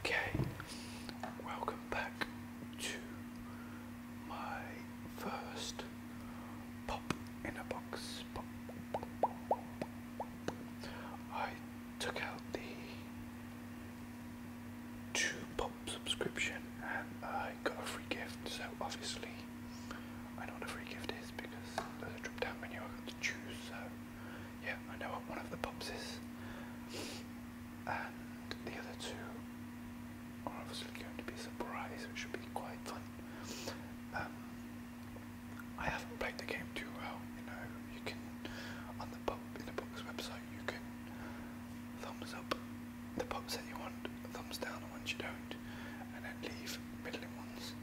Okay, welcome back to my first pop in a box. I took out the two pop subscription and I got a free gift, so obviously I know what a free gift is because there's a drop down menu I got choose, yeah, I know what one of the pubs is. And the other two are obviously going to be a surprise, which should be quite fun. Um, I haven't played the game too well, you know. You can on the pub in the pub's website, you can thumbs up the pubs that you want, thumbs down the ones you don't, and then leave middling ones.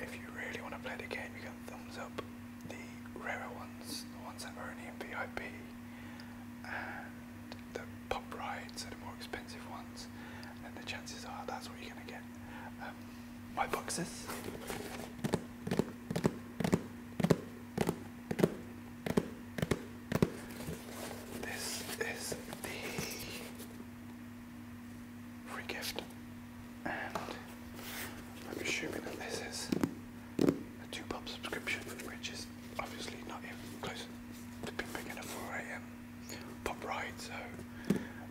If you really want to play the game, you can thumbs up the rarer ones, the ones that are only in VIP, and the pop rides are the more expensive ones, and the chances are that's what you're going to get. Um, my boxes. This is the free gift. And I'm assuming that this is a two pop subscription, which is obviously not even close to being big enough for a um, ride, so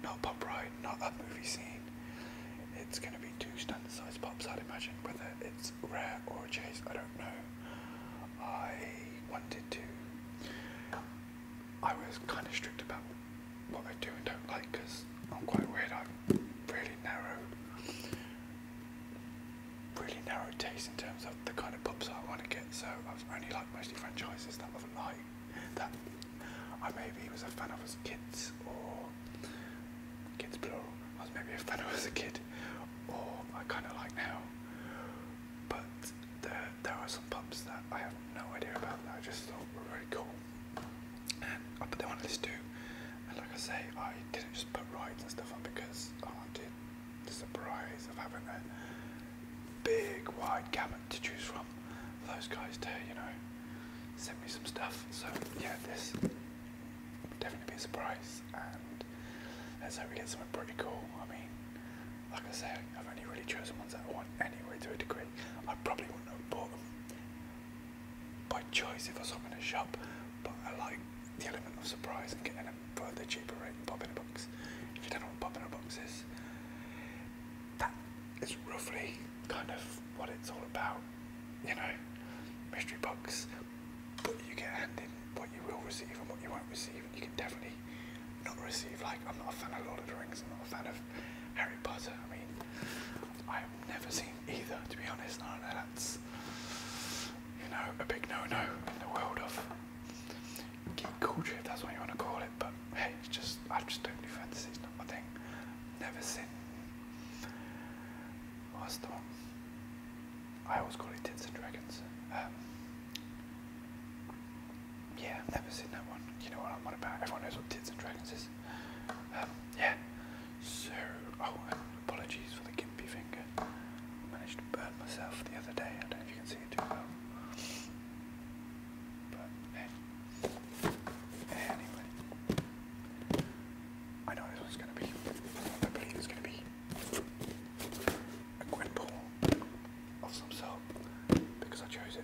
not a ride, not that movie scene. It's going to be two standard sized pops, I'd imagine. Whether it's rare or a chase, I don't know. I wanted to I was kind of strict about what I do and don't like because I'm quite weird. I'm really narrow, really narrow taste in terms of the kind of pubs I want to get. So i was only like mostly franchises that I've liked that I maybe was a fan of as kids or kids plural. I was maybe a fan of as a kid or I kind of like now. But there there are some pubs that I have no idea about I just thought were very really cool. And I uh, put them on a too. And like I say, I didn't just put rides and stuff on because oh, I wanted the surprise of having a big wide gamut to choose from those guys to, you know, send me some stuff. So yeah, this will definitely be a surprise and let's hope we get some pretty cool. I mean, like I say, I've only really chosen ones that I want anyway to a degree. I probably wouldn't have bought them by choice if I was shopping in a shop, but I like the element of surprise and getting them for the cheaper rate than pop in a box. If you don't know what pop in a box is, that is roughly kind of what it's all about, you know, mystery box, but you get handed what you will receive and what you won't receive. And you can definitely not receive. Like, I'm not a fan of Lord of the Rings. I'm not a fan of Harry Potter. I mean, I've never seen either, to be honest. I know that's, you know, a big no-no in the world of geek culture, if that's what you want to call it. But hey, it's just I just don't do fantasy. It's not my thing. Never seen. What's the I always call it Tits and Dragons. Um, yeah, I've never seen that one. You know what I'm on about. Everyone knows what Tits and Dragons is. Um, yeah. So, oh, apologies for the gimpy finger. I managed to burn myself the other day. I don't know if you can see it too well. But, Anyway. I know this one's going to be. I believe it's going to be a grid pool of some sort because I chose it.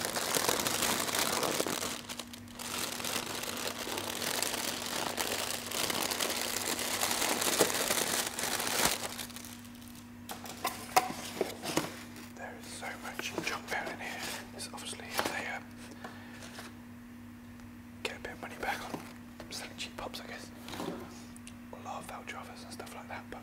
There is so much junk out in here. It's obviously they um, uh, get a bit of money back on selling cheap pops, I guess. A lot of Valtravas and stuff like that, but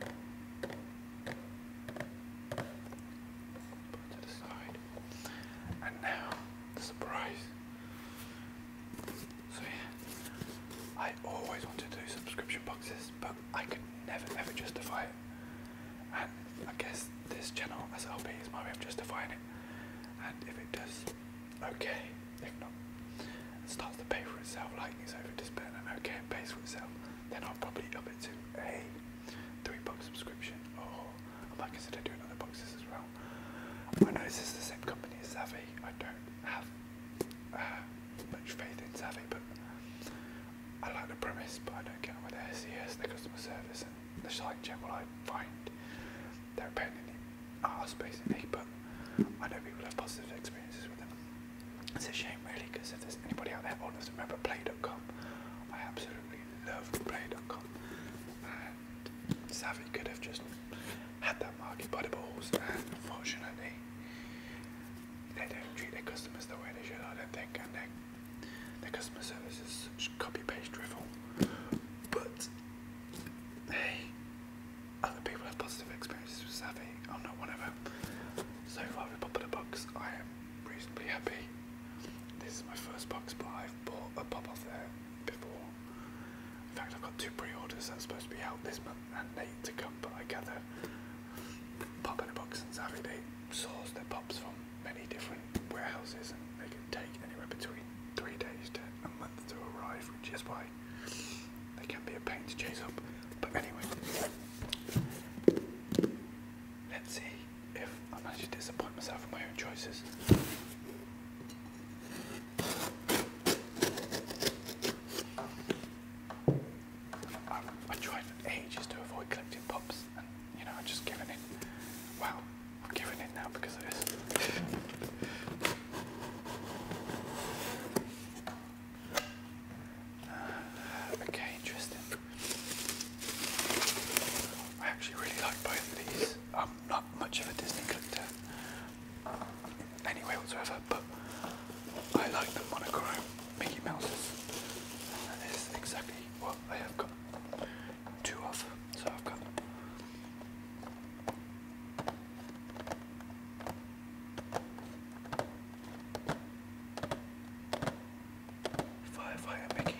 Put to the side. And now, the surprise. So yeah, I always want to do subscription boxes, but I could never ever justify it. And I guess this channel, SLP, is my way of justifying it. And if it does, okay. If not, it starts to pay for itself, like it's over to spend and okay, it pays for itself then I'll probably up it to a three box subscription or I might consider doing other boxes as well. I know this is the same company as Savvy, I don't have uh, much faith in Savvy but I like the premise but I don't get on with their SES, their customer service and the site general I find they're a pain in the arse basically but I know people have positive experiences with them. It's a shame, really, because if there's anybody out there honest, remember Play.com. I absolutely love Play.com, and Savvy could have just had that market by the balls, and unfortunately, they don't treat their customers the way they should, I don't think, and their, their customer service is such copy paste drivel. But hey, other people have positive experiences with Savvy. Oh no, whatever. So far with Pop in Box, I am reasonably happy. This is my first box, but I've bought a pop off there before. In fact, I've got two pre-orders that's supposed to be out this month and late to come, but I gather Pop in a Box and Savvy, they source their pops from many different warehouses and they can take anywhere between three days to a month to arrive, which is why why they can be a pain to chase up. But anyway, let's see if I am going to disappoint myself with my own choices. I, have tried for ages to avoid collecting pops, and you know, I've just given in. Wow, I'm giving it now because of this okay, interesting. I actually really like both of these. I'm not much of a Disney collector anyway whatsoever, but I like the monochrome Mickey Mouses. And that is exactly what I have got two of. So I've got Firefighter Mickey.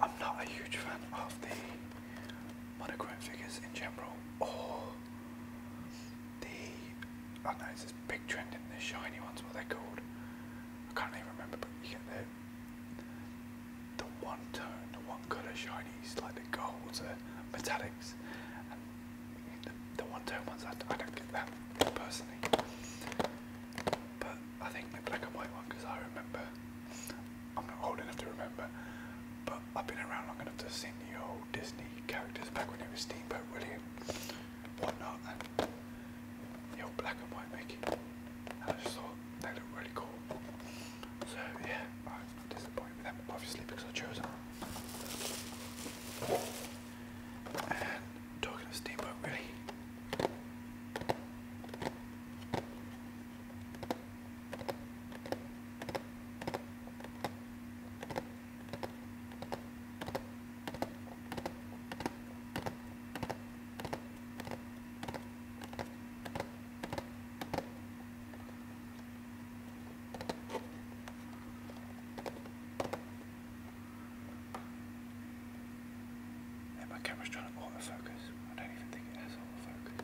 I'm not a huge fan of the monochrome figures in general or the I know, it's this big trend in the shiny ones, what they're called. I can't even remember but the one tone, the one colour shinies, like the golds, the metallics, and the, the one tone ones, I, don't get that personally. But I think the black and white one, because I remember, I'm not old enough to remember, but I've been around long enough to see the old Disney characters back when it was Steamboat William, whatnot, and the old black and white Mickey. I just thought they look really cool. So yeah, I'm disappointed with them, obviously, because I chose them. And talking of Steamboat, really my camera's trying to autofocus. I don't even think it has autofocus,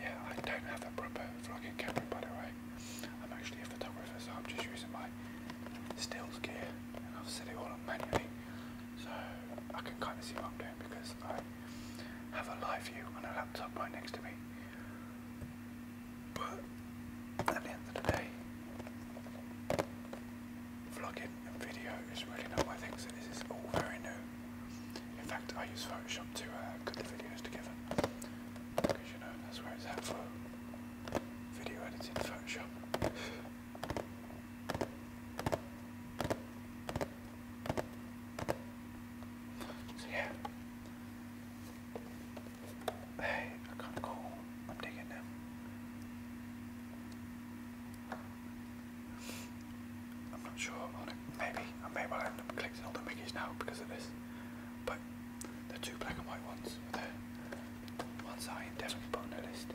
yeah, I don't have a proper vlogging camera by the way. I'm actually a photographer, so I'm just using my stills gear and I've set it all up manually so I can kind of see what I'm doing because I have a live view on a laptop right next to me but at the end of the day vlogging video is really not my thing so this is all very new in fact I use Photoshop to uh, cut the videos together because you know that's where it's at for video editing Photoshop so yeah. Hey, they're kinda cool. I'm digging them. I'm not sure Maybe I may well end up clicking all the Mickeys now because of this. But the two black and white ones there. One's I and definitely put on the list.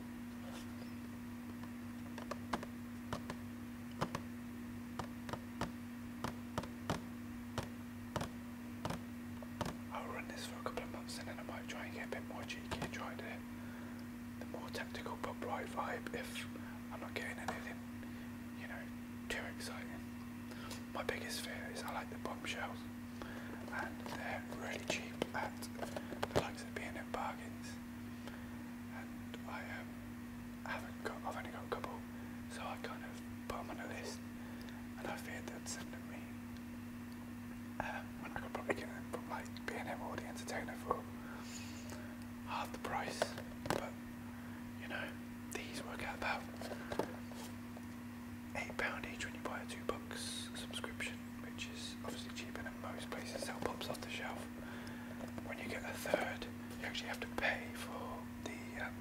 I'll run this for a couple of months and then I might try and get a bit more cheeky try the, more tactical pop right vibe if I'm not getting anything, you know, too exciting. My biggest fear is I like the bombshells and they're really cheap at the likes of B&M bargains. And I um, haven't got, I've only got a couple, so I kind of put them on a list, and I feared they'd send them me um, when I could probably get them from like B&M or the Entertainer for half the price. But you know, these work out about eight pound each when you buy a two box subscription, which is obviously cheaper than most places sell pops off the shelf. When you get a third, you actually have to pay for the um,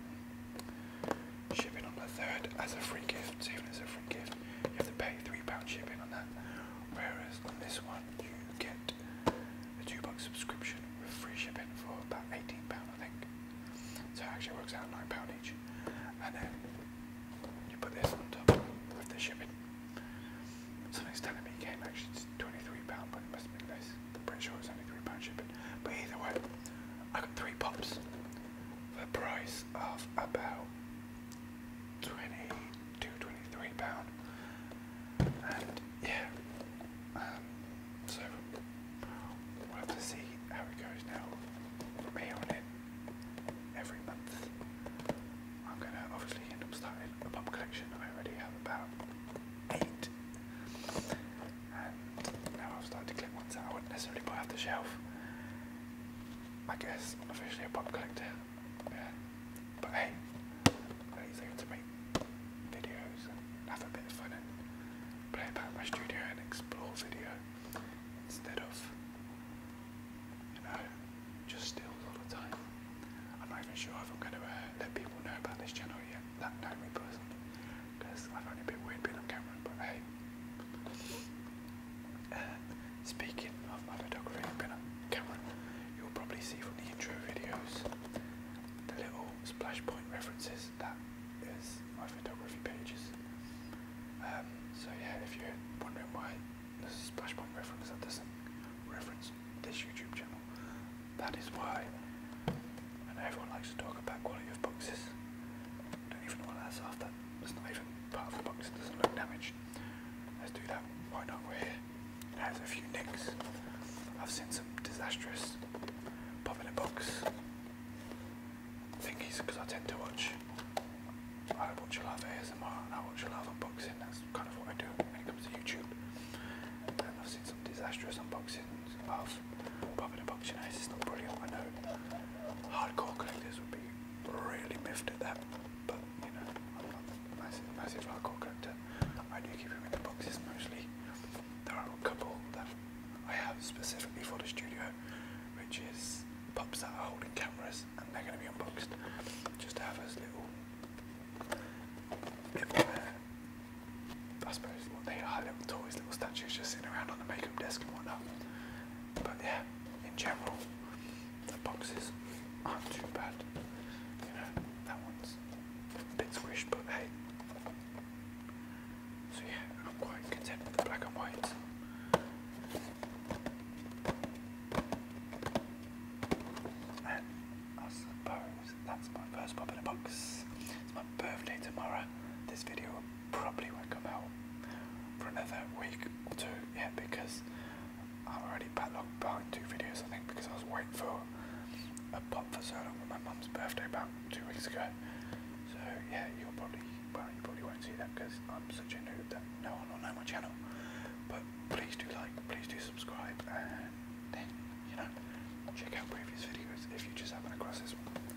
shipping on the third as a free gift. Even as a free gift, you have to pay three pound shipping on that. Whereas on this one, you get a two box subscription with free shipping for about eighteen pound, I think. So it actually works out nine pound each, and then you put this on top of the shipping. Something's telling me it came actually it's 23 pound, but it must be been less. I'm pretty only three pound shipping. But either way, I got three pops for the price of about 22, 23 pound. And yeah, um, so we'll have to see how it goes now. From on in, every month. I'm going to obviously end up starting a pop collection. I already have about eight. And now I've started to clip ones out. I wouldn't necessarily buy off the shelf. I guess I'm officially a pop collector. But hey, at there to make videos and have a bit of fun and play about my studio and explore video instead of you know just steals all the time. I'm not even sure if I'm going to uh, let people know about this channel yet that know me personally because I've only been weird being on camera but hey. speaking of my photography been on camera you'll probably see from the intro videos the little splash point references that is my photography pages. Um, so yeah, if you're wondering why there's a Splashpoint reference that doesn't reference this YouTube channel, that is why. everyone likes to talk about quality of boxes. I don't even know what that's after. It's not even part of the box, it doesn't look damaged. Let's do that. Why not? We're here. It has a few nicks. I've seen some disastrous pop in a I think he's because I tend to watch. I watch a lot of ASMR and I watch a lot of unboxing. That's kind of what I do when it comes to YouTube. And I've seen some disastrous unboxings of Bob and Unboxing It's not brilliant, I know. Hardcore collectors would be really miffed at that, but you know, I'm not a massive, massive hardcore collector. I do keep them in the boxes mostly. There are a couple that I have specifically for the studio which is pops that are holding cameras and they're going to be unboxed just have us little uh, I suppose what they are little toys, little statues just sitting around on the makeup desk and whatnot but yeah in general the boxes aren't too bad you know that one's a bit squished but hey so yeah, I'm quite content with the black and white. And I suppose that's my first pop in a box. It's my birthday tomorrow. This video probably won't come out for another week or two, yeah, because I'm already backlogged behind two videos, I think, because I was waiting for a pop for so long with my mum's birthday about two weeks ago. So yeah, you'll probably well, you probably won't see that because I'm such a noob that no one will know my channel. But please do like, please do subscribe, and then, you know, check out previous videos if you just happen across this one.